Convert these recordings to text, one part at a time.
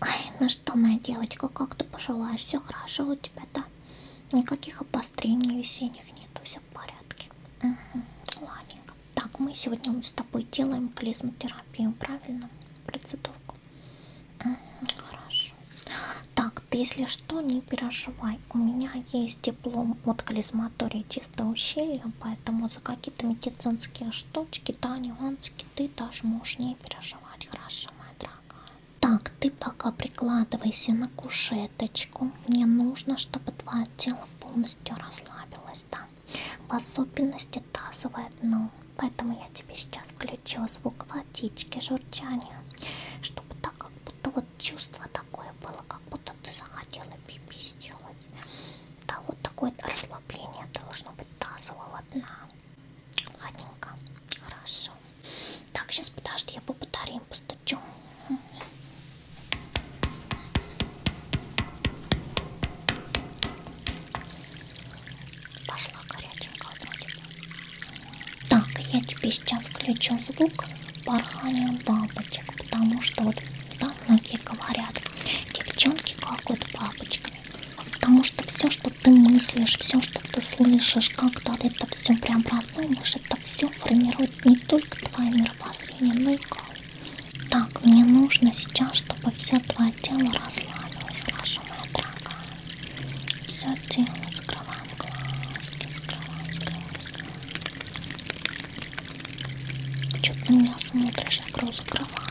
Ой, ну что, моя девочка, как ты поживаешь? Все хорошо у тебя, да? Никаких обострений весенних нету, все в порядке. Угу. Ладненько. Так, мы сегодня с тобой делаем клизмотерапию, правильно? Процедурку. Угу. Хорошо. Так, ты если что, не переживай. У меня есть диплом от клизматории чисто ущелья, поэтому за какие-то медицинские штучки, да, нюансы ты даже можешь не переживать, хорошо, моя дорогая. Так, ты пока прикладывайся на кушеточку. Мне нужно, чтобы твое тело полностью расслабилось, да. В особенности тазовое дно. Поэтому я тебе сейчас включила звук водички, журчания. Чтобы так как будто вот чувство такое было, как будто ты захотела пипи сделать. Да, вот такой расслабление расслабление должно быть тазового дна. Ладненько, хорошо. Так, сейчас подожди, я по батареям постучу. Пошла горяченько вроде. Так, я тебе сейчас включу звук порхания бабочек, потому что вот там многие говорят, девчонки, как вот бабочка. Потому что все, что ты мыслишь, все, что ты слышишь, как-то это все преобразуешь, это все формирует не только твое мировоззрение, но и как. Так, мне нужно сейчас, чтобы все твое тело расслабилось, хорошо, моя дорогая. Все тело, закрываем глазки, закрываем, закрываем, Что ты на меня смотришь, я закрываю.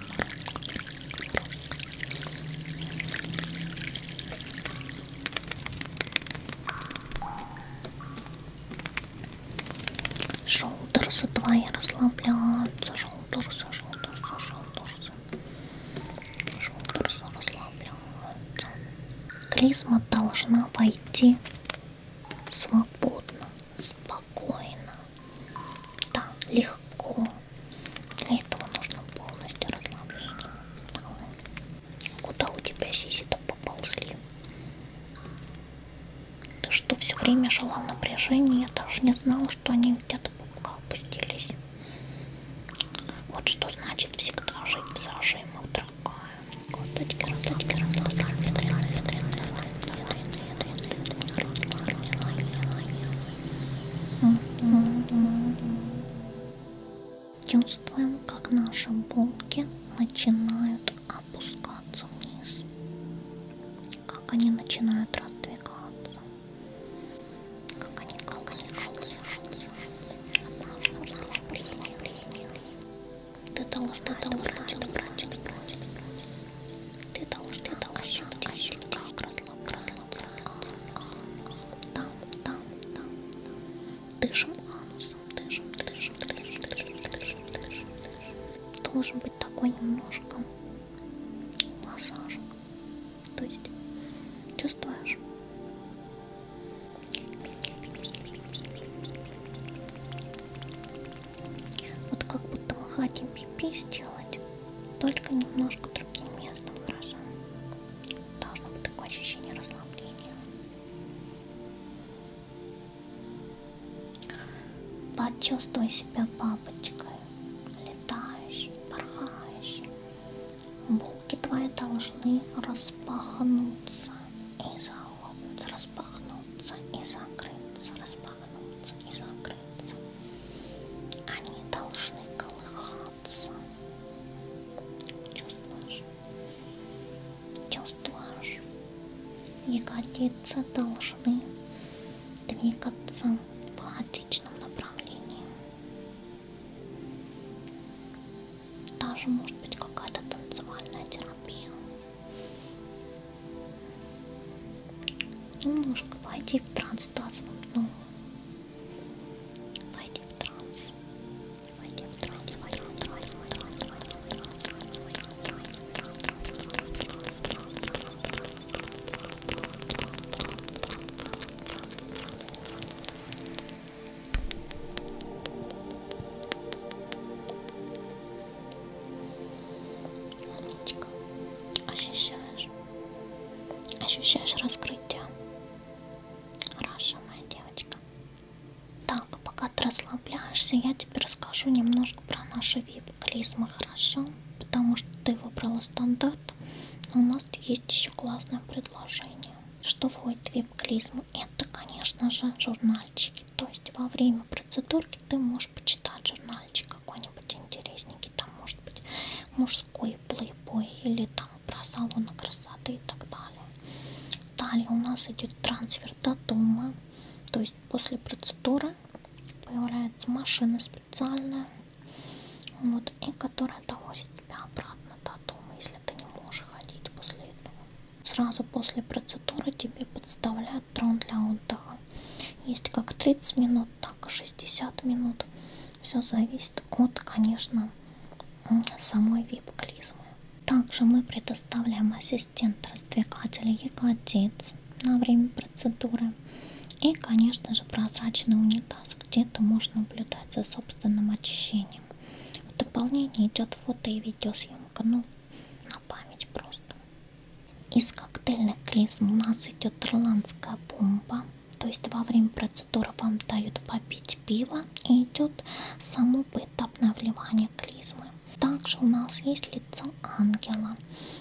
Шоудерсы твои расслабляются, шоудерсы, шоудерсы, шоудерсы. Шоудерсы расслабляются. Клизма должна войти свободно, спокойно. Да, легко. Для этого нужно полностью расслабление. Куда у тебя сиси-то поползли? Ты что, все время жила в напряжении? Я даже не знала, что они где-то пупка опустились. Вот что значит всегда жить в зажимах, дорогая. Коточки, роточки, роточки, ветряные, ветряные, ветряные, Чувствуем, как наши булки начинают опускаться вниз, как они начинают раздвигаться, как они, как они шутся, шутся, шутся. Ты должна, ты должна, ты должна, ты должна, ты должна. Ты должна ощутить, ощутить, как расслабляться. Там, там, там. Дышим анусом, дышим, дышим, дышим, дышим, дышим, дышим. Должен быть такой немножко массаж. То есть чувствуешь? Вот как будто мы хотим пипи сделать, только немножко другим местом, хорошо? Должно быть такое ощущение расслабления. Почувствуй себя бабочкой, летающей, порхающей. Булки твои должны распахнуться и захлопнуться, распахнуться и закрыться, распахнуться останутся и закрыться. Они должны колыхаться. Чувствуешь? Чувствуешь? Ягодицы должны двигаться в хаотичном направлении. Даже может быть какая-то танцевальная терапия. Ну, может, войди в транс тазовым дном. Войди в транс. Войди в транс. Войди в транс. Войди в транс. Умничка. Ощущаешь? Ощущаешь раскрытие? Хорошо, моя девочка. Так, пока ты расслабляешься, я тебе расскажу немножко про наш вид клизмы, хорошо? Потому что ты выбрала стандарт, но а у нас есть еще классное предложение. Что входит в вип-клизму? Это, конечно же, журнальчики. То есть во время процедурки ты можешь можешь почитать журнальчик какой-нибудь интересненький, там может быть мужской плейбой или там про салоны красоты и так далее. Далее у нас идет трансфер до дома, то есть после процедуры появляется машина специальная, вот, и которая довозит тебя обратно до дома, если ты не можешь ходить после этого. Сразу после процедуры тебе подставляют называют трон для отдыха. Есть как 30 минут, так и 60 минут. Все зависит от, конечно, самой вип-клизмы. Также мы предоставляем ассистент раздвигателя ягодиц на время процедуры. И, конечно же, прозрачный унитаз, где-то можно наблюдать за собственным очищением. В дополнение идет фото и видеосъемка, ну, на память просто. Из коктейльных клизм у нас идет ирландская бомба. То есть во время процедуры вам дают попить пиво и идет само поэтапное вливание клизмы. Также у нас есть лицо ангела.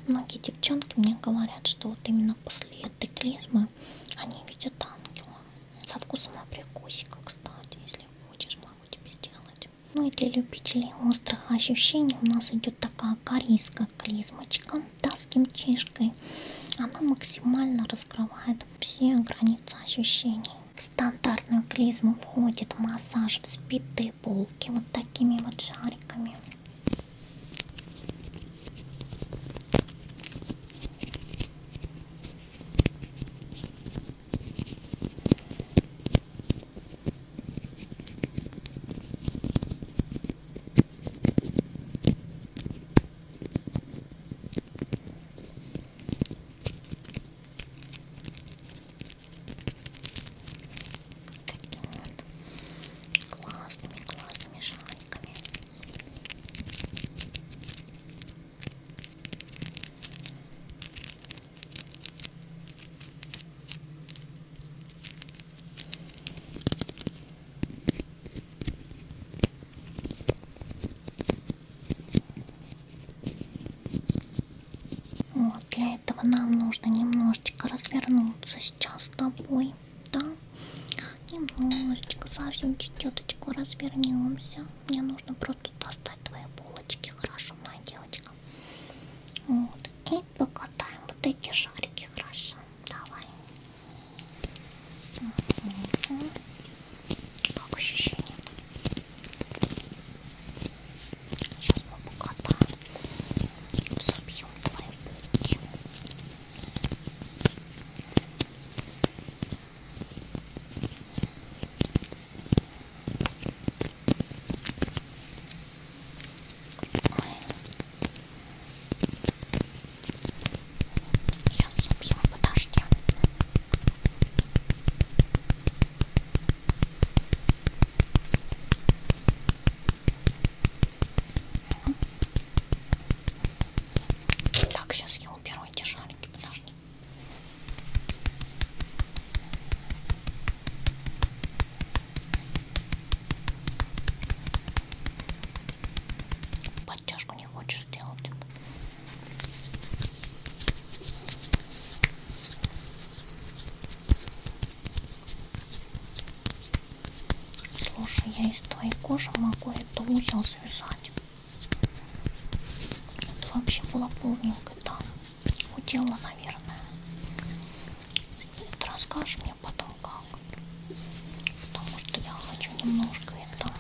Многие девчонки мне говорят, что вот именно после этой клизмы они видят ангела. Со вкусом абрикосика, кстати, если хочешь, могу тебе сделать. Ну и для любителей острых ощущений у нас идет такая корейская клизмочка, да, с кимчишкой. Она максимально раскрывает все границы ощущений. В стандартную клизму входит массаж вспитые полки вот такими вот шариками классными классными шариками вот, для этого нам нужно немножечко развернуться сейчас с тобой, да? Немножечко, совсем чуть-чуточку развернемся. Мне нужно просто достать твои булочки, хорошо, моя девочка? Вот. И покатаем вот эти шарики. Хорошо. Давай. Угу. Как ощущение? Сейчас мы покатаем. Забьем твои булки. Угу. Сейчас собью, подожди. Так, сейчас я уберу эти шарики, подожди. Подтяжку не хочешь сделать? Слушай, я из твоей кожи могу это узел связать. Это вообще было полненько там. Да? удела, наверное. Ты расскажешь мне потом как. Потому что я хочу немножко это,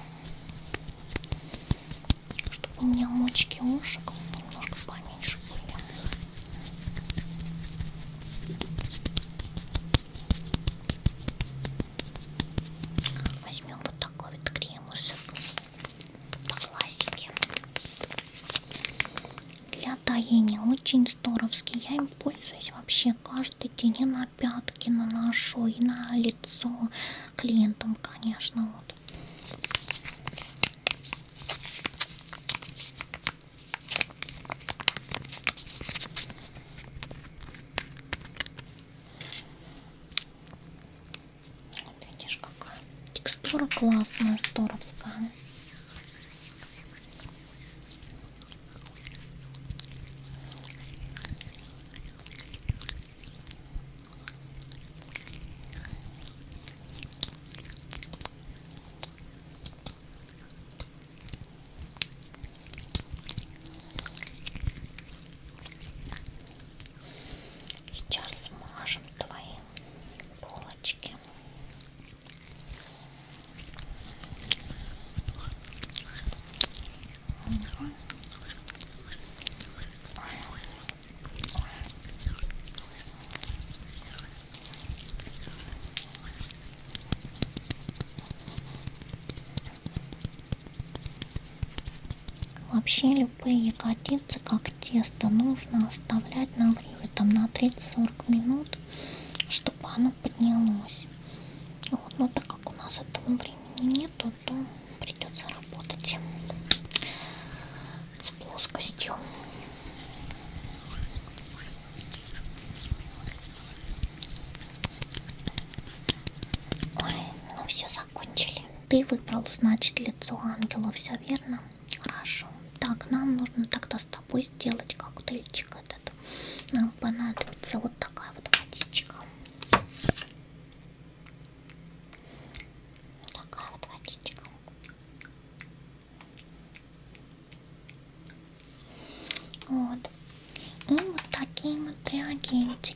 чтобы у меня мочки ушек немножко поменьше были. Возьмем вот такой вот крем уже пластике для таяния очень здоровский я им пользуюсь вообще каждый день и на пятки наношу и на лицо клиентам конечно вот вот видишь, какая текстура классная, здоровская. Сейчас смажем твои полочки. Угу. Вообще Любые котлетцы, как тесто, нужно оставлять на гриве там на 30-40 минут, чтобы оно поднялось. Вот, но так как у нас этого времени нету, то придется работать с плоскостью. Ой, ну все закончили. Ты выбрал, значит, лицо ангела, все верно? Хорошо. Так, нам нужно тогда с тобой сделать коктейльчик этот. Нам понадобится вот такая вот водичка. Такая вот водичка. Вот. И вот такие вот реагенты.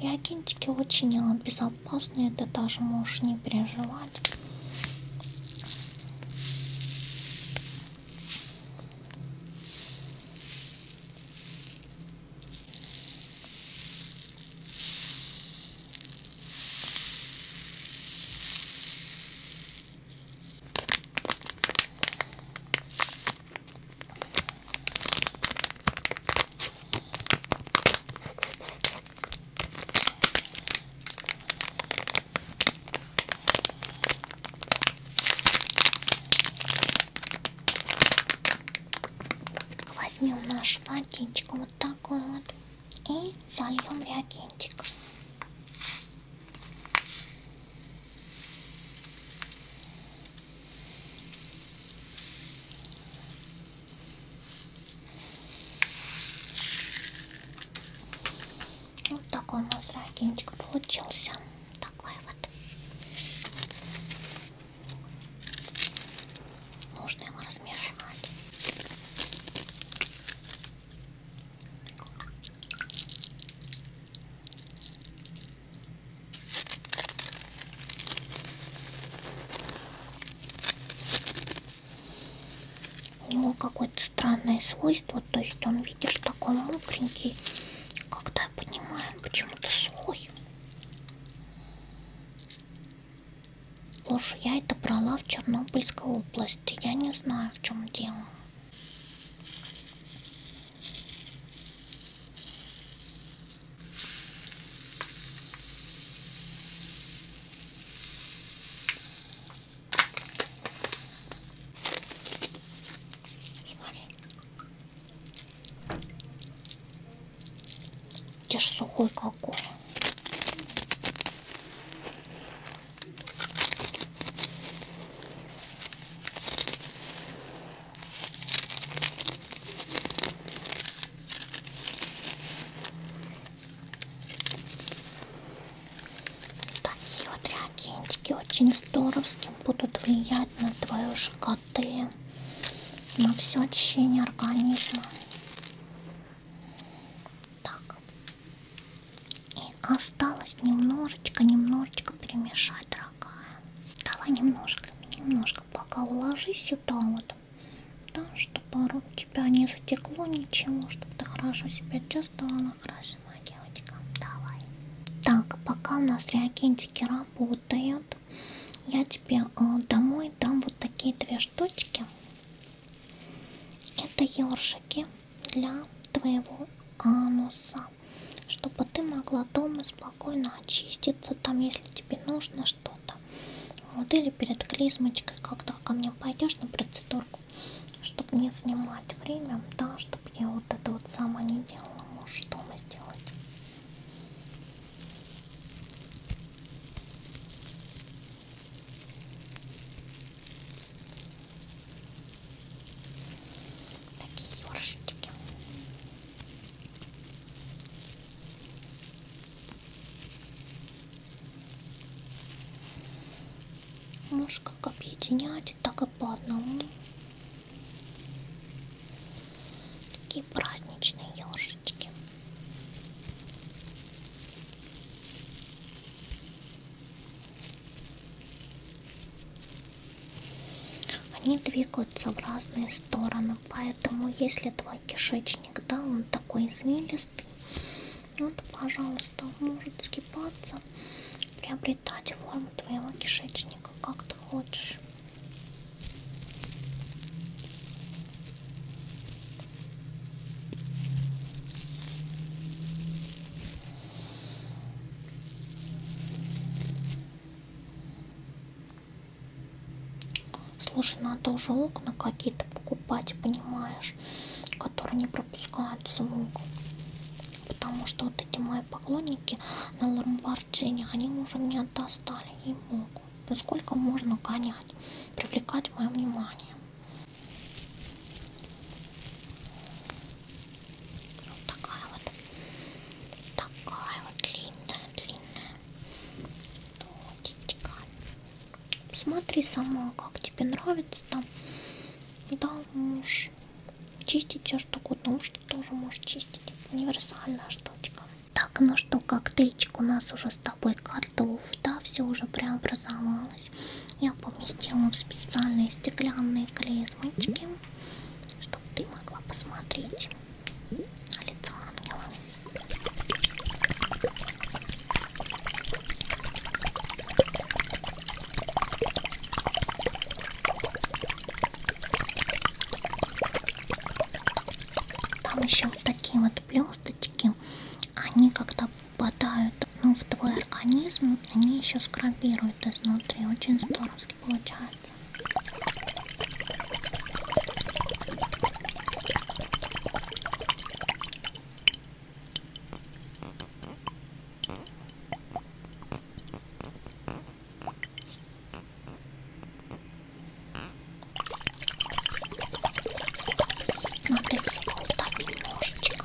Реагентики очень безопасные, ты даже можешь не переживать. Возьмем наш фонтинчик вот такой вот и зальем реагентик. Вот такой у нас ракинчик получился. Такой вот. Нужно его размешать. У него какое-то странное свойство, то есть он, видишь, такой мокренький, когда я понимаю, почему-то сухой. Слушай, я это брала в Чернобыльской области, я не знаю, в чем дело. Смотри. Ты ж сухой какой. Такие вот реагентики очень здоровски будут влиять на твою ЖКТ, на все очищение организма. Так. И осталось немножечко, немножечко перемешать, дорогая. Давай немножко, немножко пока уложи сюда вот. Да, чтобы у тебя не затекло ничего, чтобы ты хорошо себя чувствовала, хорошо, моя девочка. Давай. Так, пока у нас реагентики работают, я тебе э, домой дам вот такие две штучки. Это ёршики для твоего ануса чтобы ты могла дома спокойно очиститься, там, если тебе нужно что-то. Вот, или перед клизмочкой, когда ко мне пойдешь на процедурку, чтобы не занимать время, да, чтобы я вот это вот сама не делала, можешь дома сделать. Такие ёршики. Можешь как объединять, так и по одному. Такие праздничные ёршики. Они двигаются в разные стороны, поэтому если твой кишечник, да, он такой извилистый, вот, пожалуйста, может скипаться, приобретать форму твоего кишечника, как ты хочешь. Слушай, надо уже окна какие-то покупать, понимаешь, которые не пропускают звук. Потому что вот эти мои поклонники на Ламборджини, они уже меня достали, и могут. Насколько можно гонять, привлекать мое внимание. Вот такая вот, такая вот длинная, длинная нотичка. Смотри сама, как тебе нравится там. Да, можешь чистить все что угодно, ушки ну, тоже можешь чистить. Универсальная штучка. Так, ну что, коктейльчик у нас уже с тобой готов, да, все уже преобразовалось. Я поместила в специальные стеклянные клизмочки чтобы ты могла посмотреть на лицо ангела. Там еще вот такие вот блесточки, они когда попадают ну, в твой организм они еще скрабируют изнутри. Очень здоровски получается. Надо всего вот так немножечко.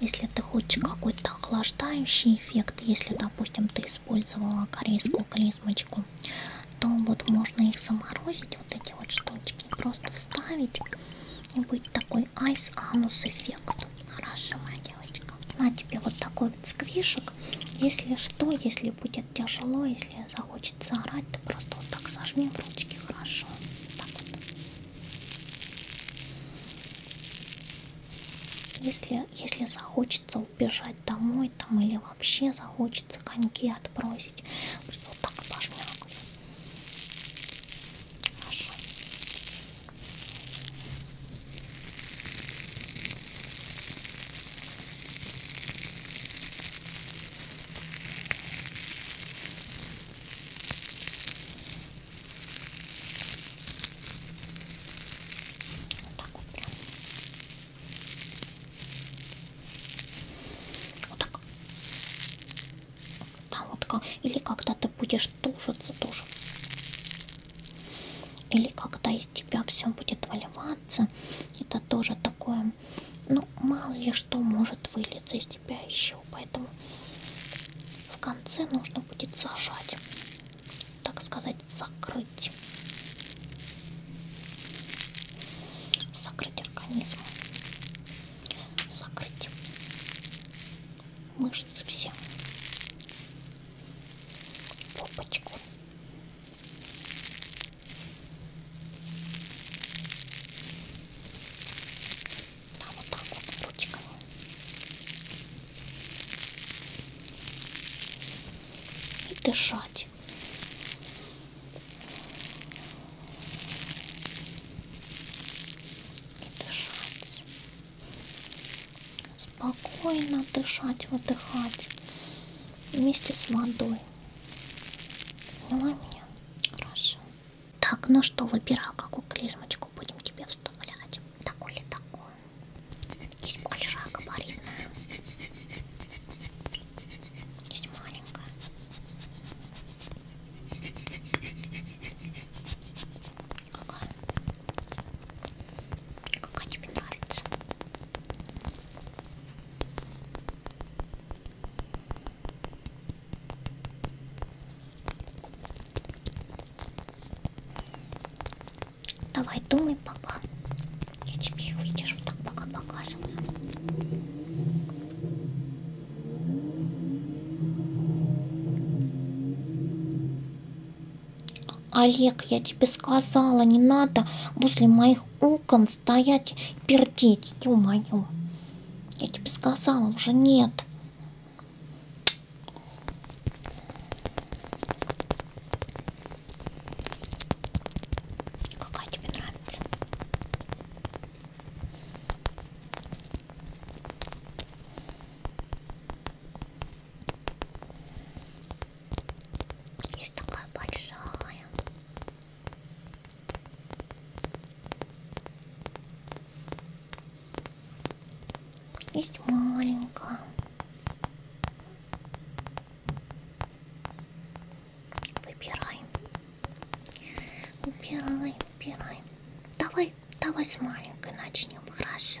Если ты хочешь какой-то охлаждающий эффект, если, допустим, ты использовала корейскую клизмочку, то вот можно их заморозить, вот эти вот штучки, просто вставить и будет такой айс-анус эффект. Хорошо, моя девочка. На тебе вот такой вот сквишек. Если что, если будет тяжело, если захочется орать, ты просто вот так сожми в ручки, хорошо. Так вот. Если, если захочется убежать домой там или вообще захочется коньки отбросить, просто вот так пожмякаю. Хорошо. Вот так вот прям. Вот так. Там вот как... Или когда ты будешь тушиться тоже. Или когда из тебя все будет выливаться. Это тоже такое. Ну, мало ли что может вылиться из тебя еще. Поэтому в конце нужно будет зажать так сказать, закрыть. Закрыть организм. Закрыть мышцы все. Попочку. Да, вот так вот ручками. И дышать. И дышать. Спокойно дышать, выдыхать. Вместе с водой. Поняла меня? Хорошо. Так, ну что, выбирай, какую клизмочку будем тебе вставлять. Такой ли такой? Есть большая габаритная. Есть маленькая. Какая? Какая тебе нравится? Давай, думай пока. Я тебе их видишь, вот так пока показываю. Олег, я тебе сказала, не надо возле моих окон стоять и пердеть, ё-моё. Я тебе сказала, уже нет. Какая тебе нравится? Есть такая большая. Есть маленькая. Выбирай. Выбирай, выбирай. Давай, давай с маленькой начнем, хорошо.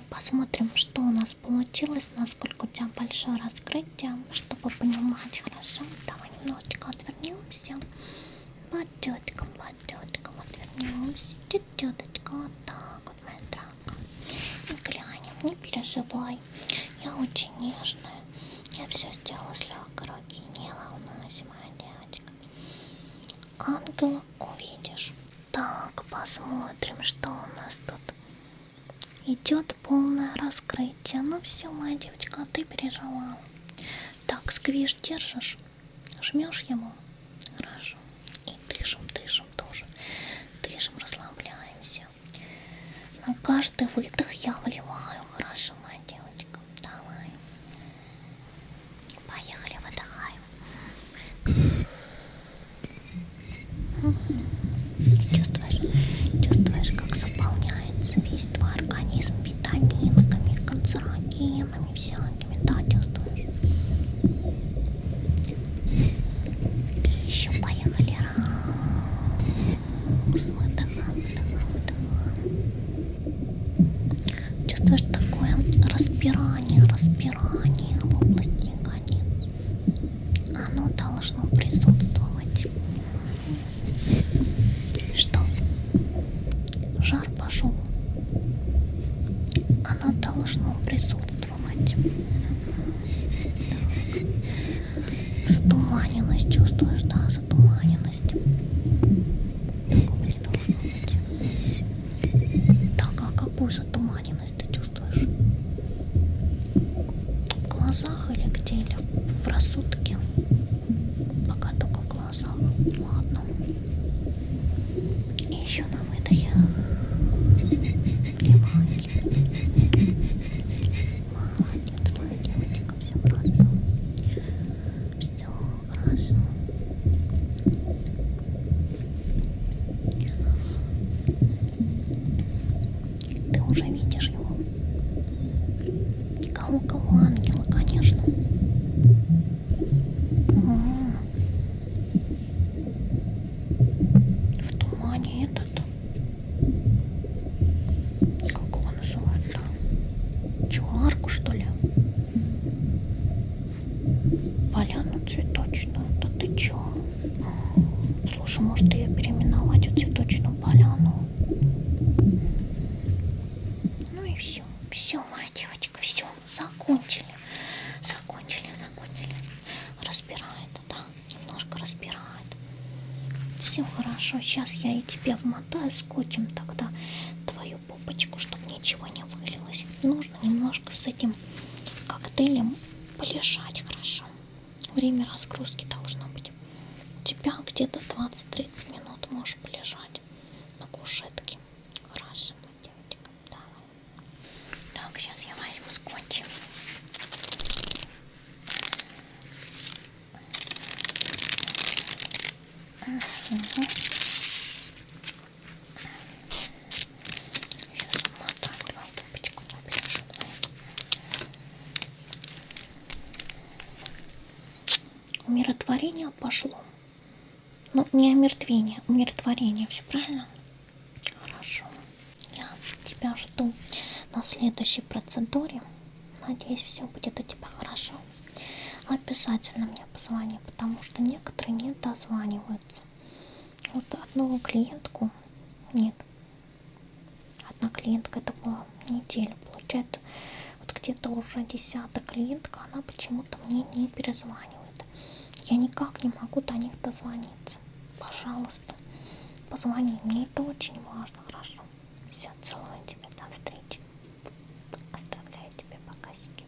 Давай посмотрим, что у нас получилось, насколько у тебя большое раскрытие, чтобы понимать хорошо. Давай немножечко отвернемся. Подтетка, подтетка, отвернемся. Тететочка, вот так вот, моя дорогая. Не глянем, не переживай. Я очень нежная. Я все сделала с легкой Не волнуйся, моя девочка. Ангела увидишь. Так, посмотрим, что у нас тут. Идет полное раскрытие. Ну все, моя девочка, а ты переживала. Так, сквиш держишь, жмешь ему. Хорошо. И дышим, дышим тоже. Дышим, расслабляемся. На каждый выдох я вливаю. Хорошо, моя девочка. Давай. Поехали, выдыхаем. Чувствуешь, чувствуешь, как заполняется весь твой организм витаминками, канцерогенами всякими, да, чувствуешь? И еще поехали раз. Выдыхаем, выдыхаем, выдыхаем. Чувствуешь такое распирание, распирание в области ягодиц? Оно должно присутствовать. Что? Жар пошел. Оно должно присутствовать. Так. Затуманенность чувствуешь, да? Затуманенность. Такого не должно быть. Так, а какую затуманенность? усталость ты чувствуешь? В глазах или где? Или в рассудке? Пока только в глазах. Ладно. И еще на выдохе. Левая, Молодец, моя девочка, все хорошо. Все хорошо. Ты уже видишь его. Кого-кого ангела, конечно. А, в тумане этот. Как его называют-то? Чуарку, что ли? Поляна цветочная. Да ты чё? Слушай, может ее переименовать в цветочную поляну? Ну и все. Все, моя девочка, все, закончили. Закончили, закончили. Разбирает, да, немножко разбирает. Все хорошо, сейчас я и тебя вмотаю скотчем тогда твою попочку, чтобы ничего не вылилось. Нужно немножко с этим коктейлем полежать хорошо. Время разгрузки должно быть. У тебя где-то 20-30 минут можешь полежать на кушетке. Хорошо, девочка. Давай. Так, сейчас я возьму скотч. Угу. Сейчас смотаем два пупочка побежим. Умиротворение пошло. Ну, не омертвение, умиротворение. Все правильно? Хорошо. Я тебя жду на следующей процедуре. Надеюсь, все будет у тебя хорошо. Обязательно мне позвони, потому что некоторые не дозваниваются вот одну клиентку нет одна клиентка это была неделя получает вот где-то уже десятая клиентка она почему-то мне не перезванивает я никак не могу до них дозвониться пожалуйста позвони мне это очень важно хорошо все целую тебя до встречи оставляю тебе покасики